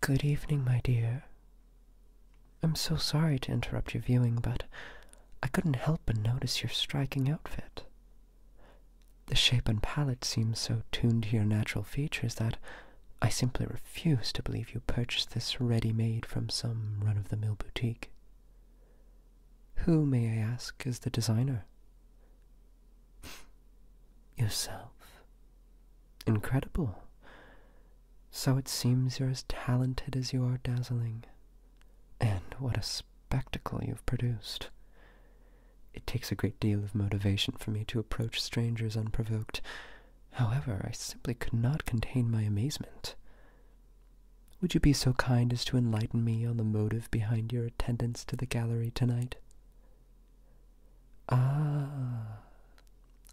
Good evening, my dear. I'm so sorry to interrupt your viewing, but I couldn't help but notice your striking outfit. The shape and palette seem so tuned to your natural features that I simply refuse to believe you purchased this ready-made from some run-of-the-mill boutique. Who, may I ask, is the designer? Yourself. Incredible. So it seems you're as talented as you are dazzling. And what a spectacle you've produced. It takes a great deal of motivation for me to approach strangers unprovoked. However, I simply could not contain my amazement. Would you be so kind as to enlighten me on the motive behind your attendance to the gallery tonight? Ah,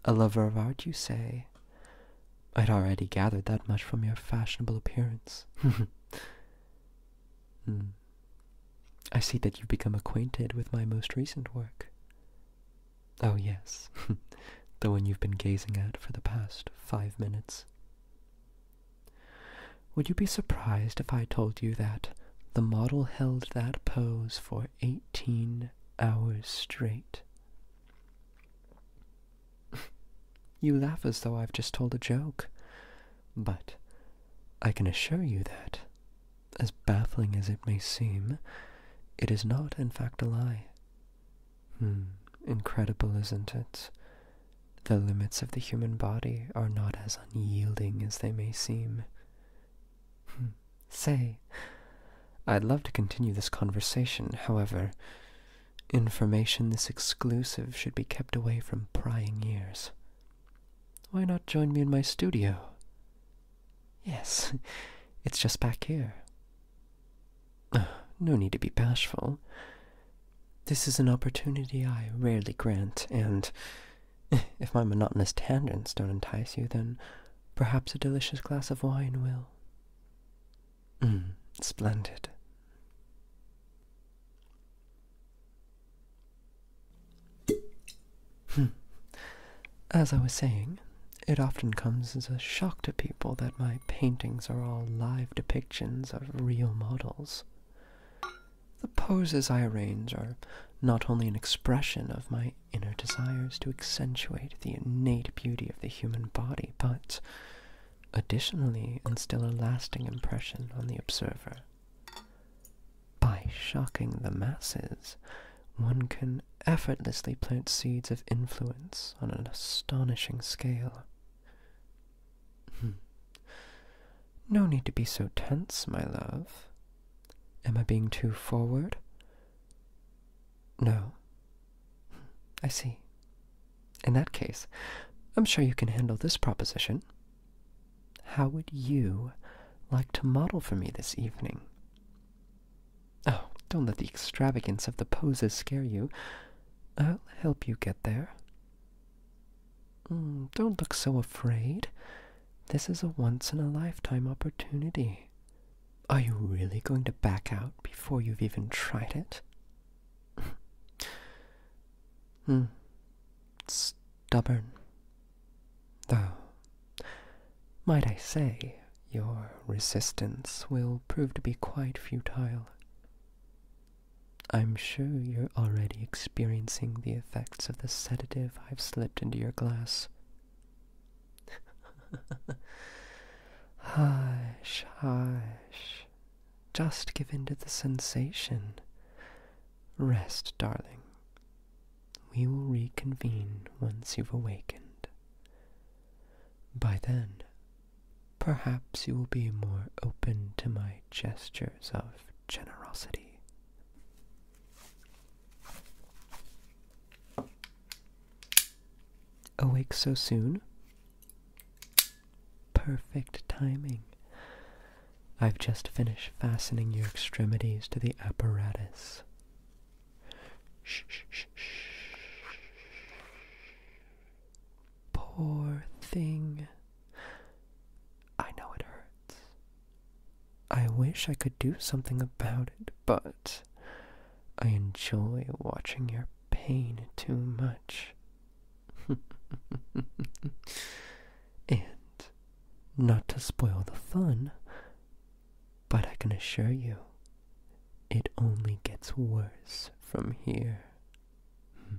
a lover of art, you say? I'd already gathered that much from your fashionable appearance. mm, I see that you've become acquainted with my most recent work. Oh, yes, the one you've been gazing at for the past five minutes. Would you be surprised if I told you that the model held that pose for eighteen hours straight? you laugh as though I've just told a joke. But I can assure you that, as baffling as it may seem, it is not in fact a lie. Hmm, incredible, isn't it? The limits of the human body are not as unyielding as they may seem. Hmm. Say, I'd love to continue this conversation, however, information this exclusive should be kept away from prying ears. Why not join me in my studio? Yes, it's just back here. no need to be bashful. This is an opportunity I rarely grant, and if my monotonous tangents don't entice you, then perhaps a delicious glass of wine will. Hmm, splendid. Hmm. As I was saying, it often comes as a shock to people that my paintings are all live depictions of real models. The poses I arrange are not only an expression of my inner desires to accentuate the innate beauty of the human body, but additionally instill a lasting impression on the observer. By shocking the masses, one can effortlessly plant seeds of influence on an astonishing scale. Hmm. no need to be so tense, my love. Am I being too forward? No. I see. In that case, I'm sure you can handle this proposition. How would you like to model for me this evening? Oh, don't let the extravagance of the poses scare you. I'll help you get there. Mm, don't look so afraid. This is a once in a lifetime opportunity. Are you really going to back out before you've even tried it? Hmm. Stubborn. Though, might I say, your resistance will prove to be quite futile. I'm sure you're already experiencing the effects of the sedative I've slipped into your glass. hush, hush. Just give in to the sensation. Rest, darling. We will reconvene once you've awakened. By then, perhaps you will be more open to my gestures of generosity. Awake so soon? Perfect timing. I've just finished fastening your extremities to the apparatus. Shh, shh, shh, shh. Poor thing. I know it hurts. I wish I could do something about it, but I enjoy watching your pain too much. and not to spoil the fun, but I can assure you it only gets worse from here.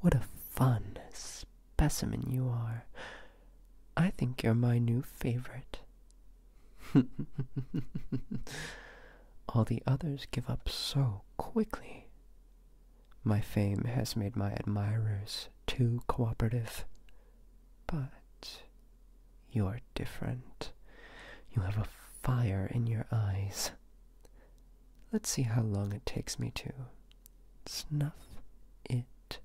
What a fun specimen you are. I think you're my new favorite. all the others give up so quickly. My fame has made my admirers too cooperative. But you're different. You have a fire in your eyes. Let's see how long it takes me to snuff it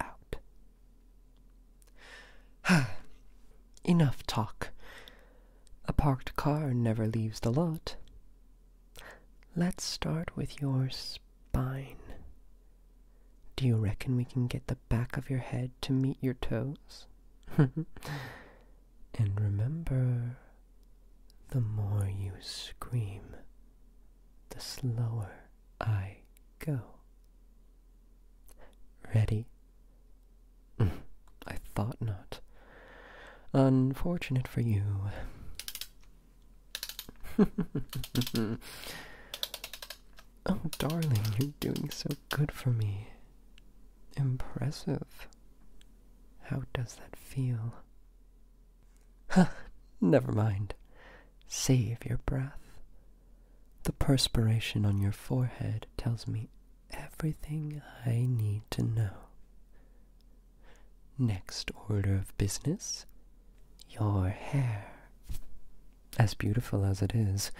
out. Enough talk. A parked car never leaves the lot. Let's start with your spine. Do you reckon we can get the back of your head to meet your toes? and remember, the more you scream, the slower I go. Ready? I thought not. Unfortunate for you. oh, darling, you're doing so good for me. Impressive. How does that feel? Ha! never mind. Save your breath. The perspiration on your forehead tells me everything I need to know. Next order of business your hair. As beautiful as it is,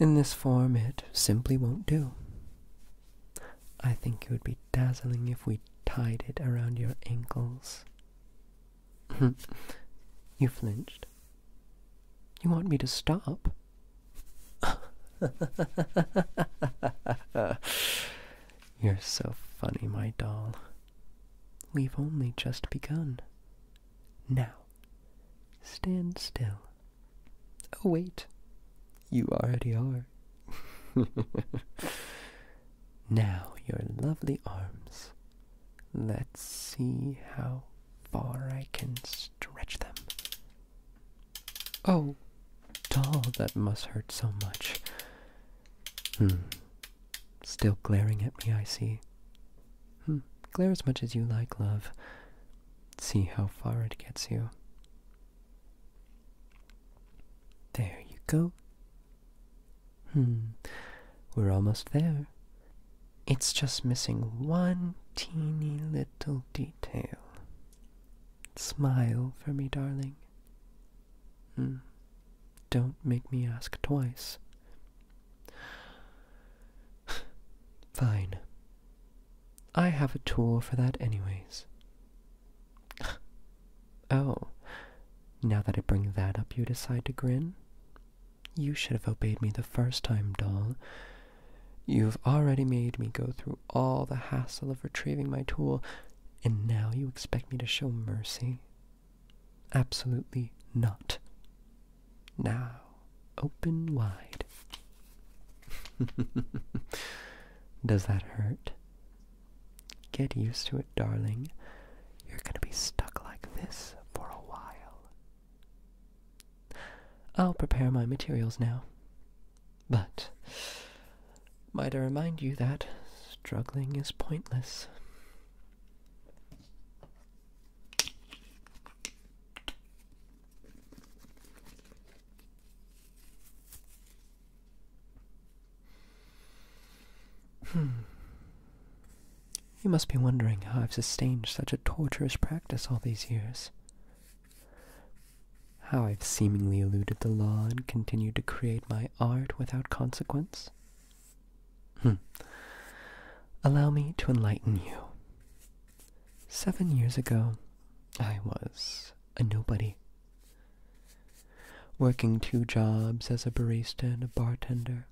in this form it simply won't do. I think it would be dazzling if we tied it around your ankles. you flinched. You want me to stop? You're so funny, my doll. We've only just begun. Now, stand still. Oh, wait. You already are. now, your lovely arms. Let's see how far I can stretch them. Oh, doll, that must hurt so much. Hmm. Still glaring at me, I see. Hmm. Glare as much as you like, love. See how far it gets you. There you go. Hmm. We're almost there. It's just missing one teeny little detail. Smile for me, darling. Hmm. Don't make me ask twice. Fine. I have a tool for that, anyways. oh, now that I bring that up, you decide to grin? You should have obeyed me the first time, doll. You've already made me go through all the hassle of retrieving my tool, and now you expect me to show mercy? Absolutely not. Now, open wide. Does that hurt? Get used to it, darling. You're gonna be stuck like this for a while. I'll prepare my materials now. But might I remind you that struggling is pointless? Hmm. You must be wondering how I've sustained such a tortuous practice all these years. How I've seemingly eluded the law and continued to create my art without consequence? Hm. Allow me to enlighten you. Seven years ago, I was a nobody. Working two jobs as a barista and a bartender,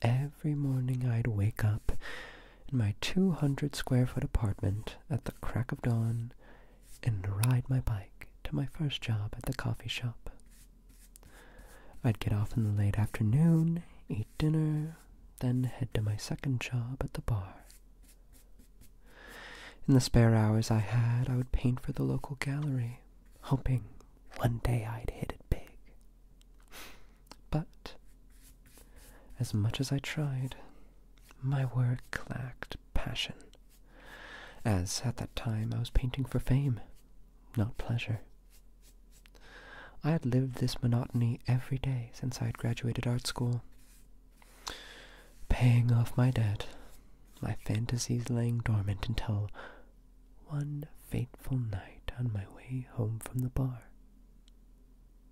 Every morning I'd wake up in my 200 square foot apartment at the crack of dawn and ride my bike to my first job at the coffee shop. I'd get off in the late afternoon, eat dinner, then head to my second job at the bar. In the spare hours I had, I would paint for the local gallery, hoping one day I'd hit it big. But, as much as I tried, my work lacked passion, as at that time I was painting for fame, not pleasure. I had lived this monotony every day since I had graduated art school, paying off my debt, my fantasies laying dormant until one fateful night on my way home from the bar.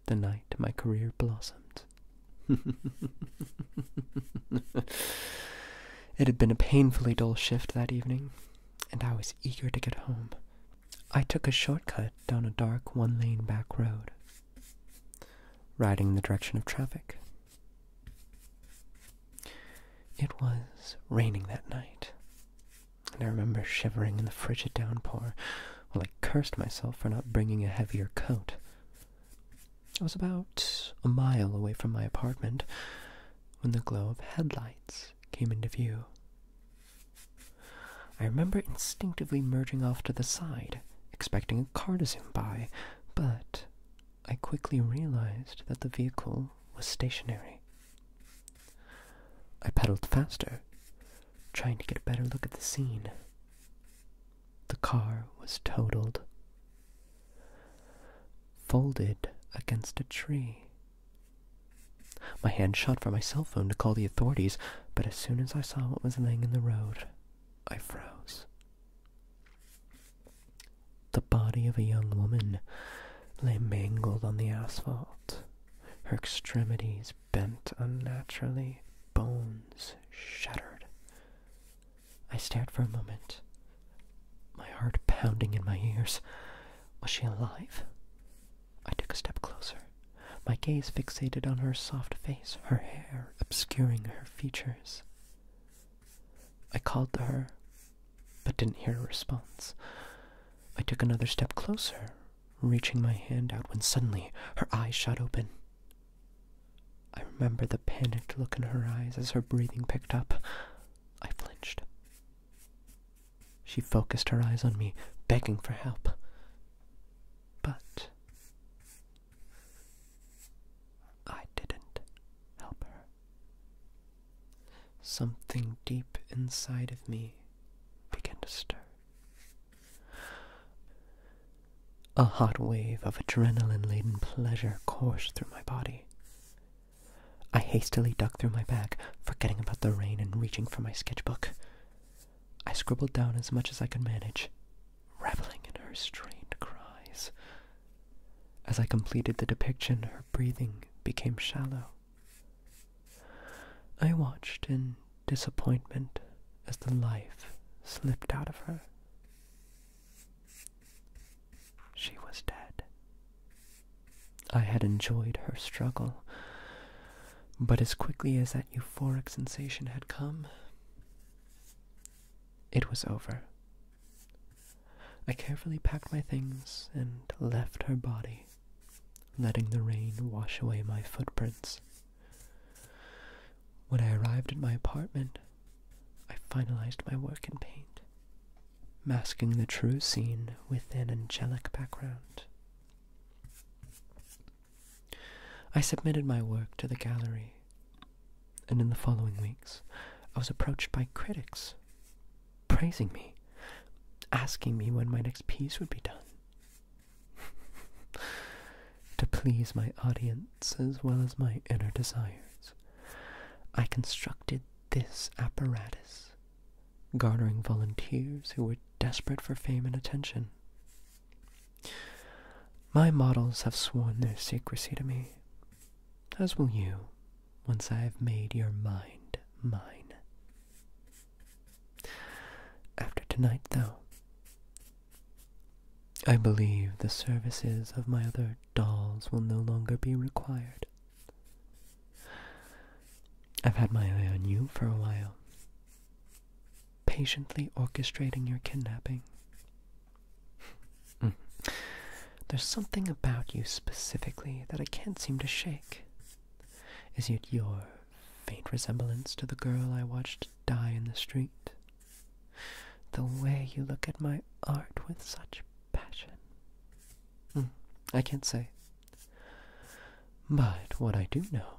The night my career blossomed. it had been a painfully dull shift that evening, and I was eager to get home. I took a shortcut down a dark one lane back road, riding in the direction of traffic. It was raining that night, and I remember shivering in the frigid downpour while I cursed myself for not bringing a heavier coat. I was about a mile away from my apartment when the glow of headlights came into view. I remember instinctively merging off to the side, expecting a car to zoom by, but I quickly realized that the vehicle was stationary. I pedaled faster, trying to get a better look at the scene. The car was totaled, folded against a tree. My hand shot for my cell phone to call the authorities, but as soon as I saw what was laying in the road, I froze. The body of a young woman lay mangled on the asphalt, her extremities bent unnaturally, bones shattered. I stared for a moment, my heart pounding in my ears. Was she alive? I took a step closer, my gaze fixated on her soft face, her hair obscuring her features. I called to her, but didn't hear a response. I took another step closer, reaching my hand out when suddenly her eyes shot open. I remember the panicked look in her eyes as her breathing picked up. I flinched. She focused her eyes on me, begging for help. But I didn't help her. Something deep inside of me began to stir. A hot wave of adrenaline laden pleasure coursed through my body. I hastily dug through my bag, forgetting about the rain and reaching for my sketchbook. I scribbled down as much as I could manage, reveling in her strained cries. As I completed the depiction, breathing became shallow. I watched in disappointment as the life slipped out of her. She was dead. I had enjoyed her struggle, but as quickly as that euphoric sensation had come, it was over. I carefully packed my things and left her body, letting the rain wash away my footprints. When I arrived at my apartment, I finalized my work in paint, masking the true scene with an angelic background. I submitted my work to the gallery, and in the following weeks, I was approached by critics praising me, asking me when my next piece would be done. to please my audience as well as my inner desires, I constructed this apparatus, garnering volunteers who were desperate for fame and attention. My models have sworn their secrecy to me, as will you once I've made your mind mine. After tonight, though, I believe the services of my other dolls will no longer be required. I've had my eye on you for a while, patiently orchestrating your kidnapping. Hmm. There's something about you specifically that I can't seem to shake. Is it your faint resemblance to the girl I watched die in the street? The way you look at my art with such passion. Hmm, I can't say. But what I do know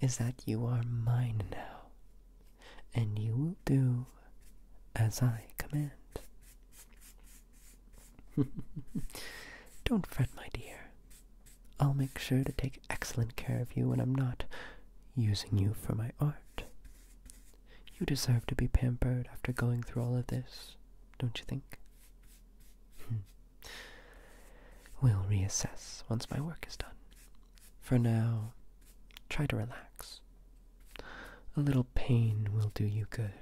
is that you are mine now, and you will do as I command. Don't fret, my dear. I'll make sure to take excellent care of you when I'm not using you for my art. You deserve to be pampered after going through all of this, don't you think? Hmm. we'll reassess once my work is done. For now, try to relax. A little pain will do you good.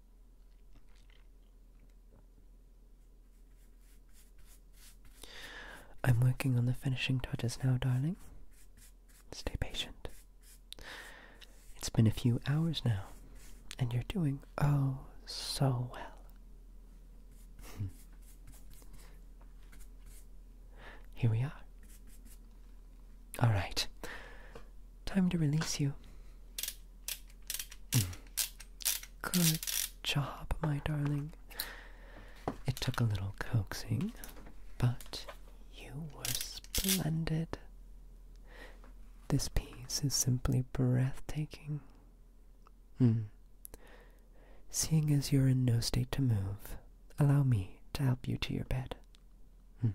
I'm working on the finishing touches now, darling. Stay patient. It's been a few hours now, and you're doing oh so well. Here we are. All right. Time to release you. Hmm. Good job, my darling. It took a little coaxing, but you were splendid. This piece is simply breathtaking. Hmm. Seeing as you're in no state to move, allow me to help you to your bed. Hmm.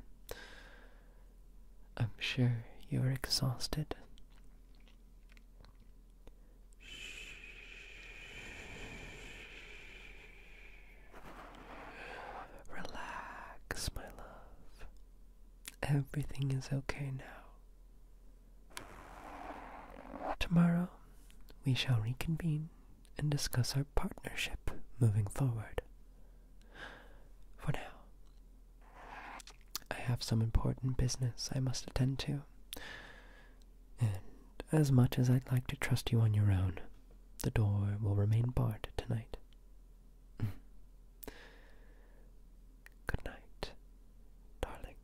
I'm sure you're exhausted. Shh. Relax, my love. Everything is okay now. Tomorrow, we shall reconvene and discuss our partnership moving forward. For now, I have some important business I must attend to. And as much as I'd like to trust you on your own, the door will remain barred tonight. Good night, darling.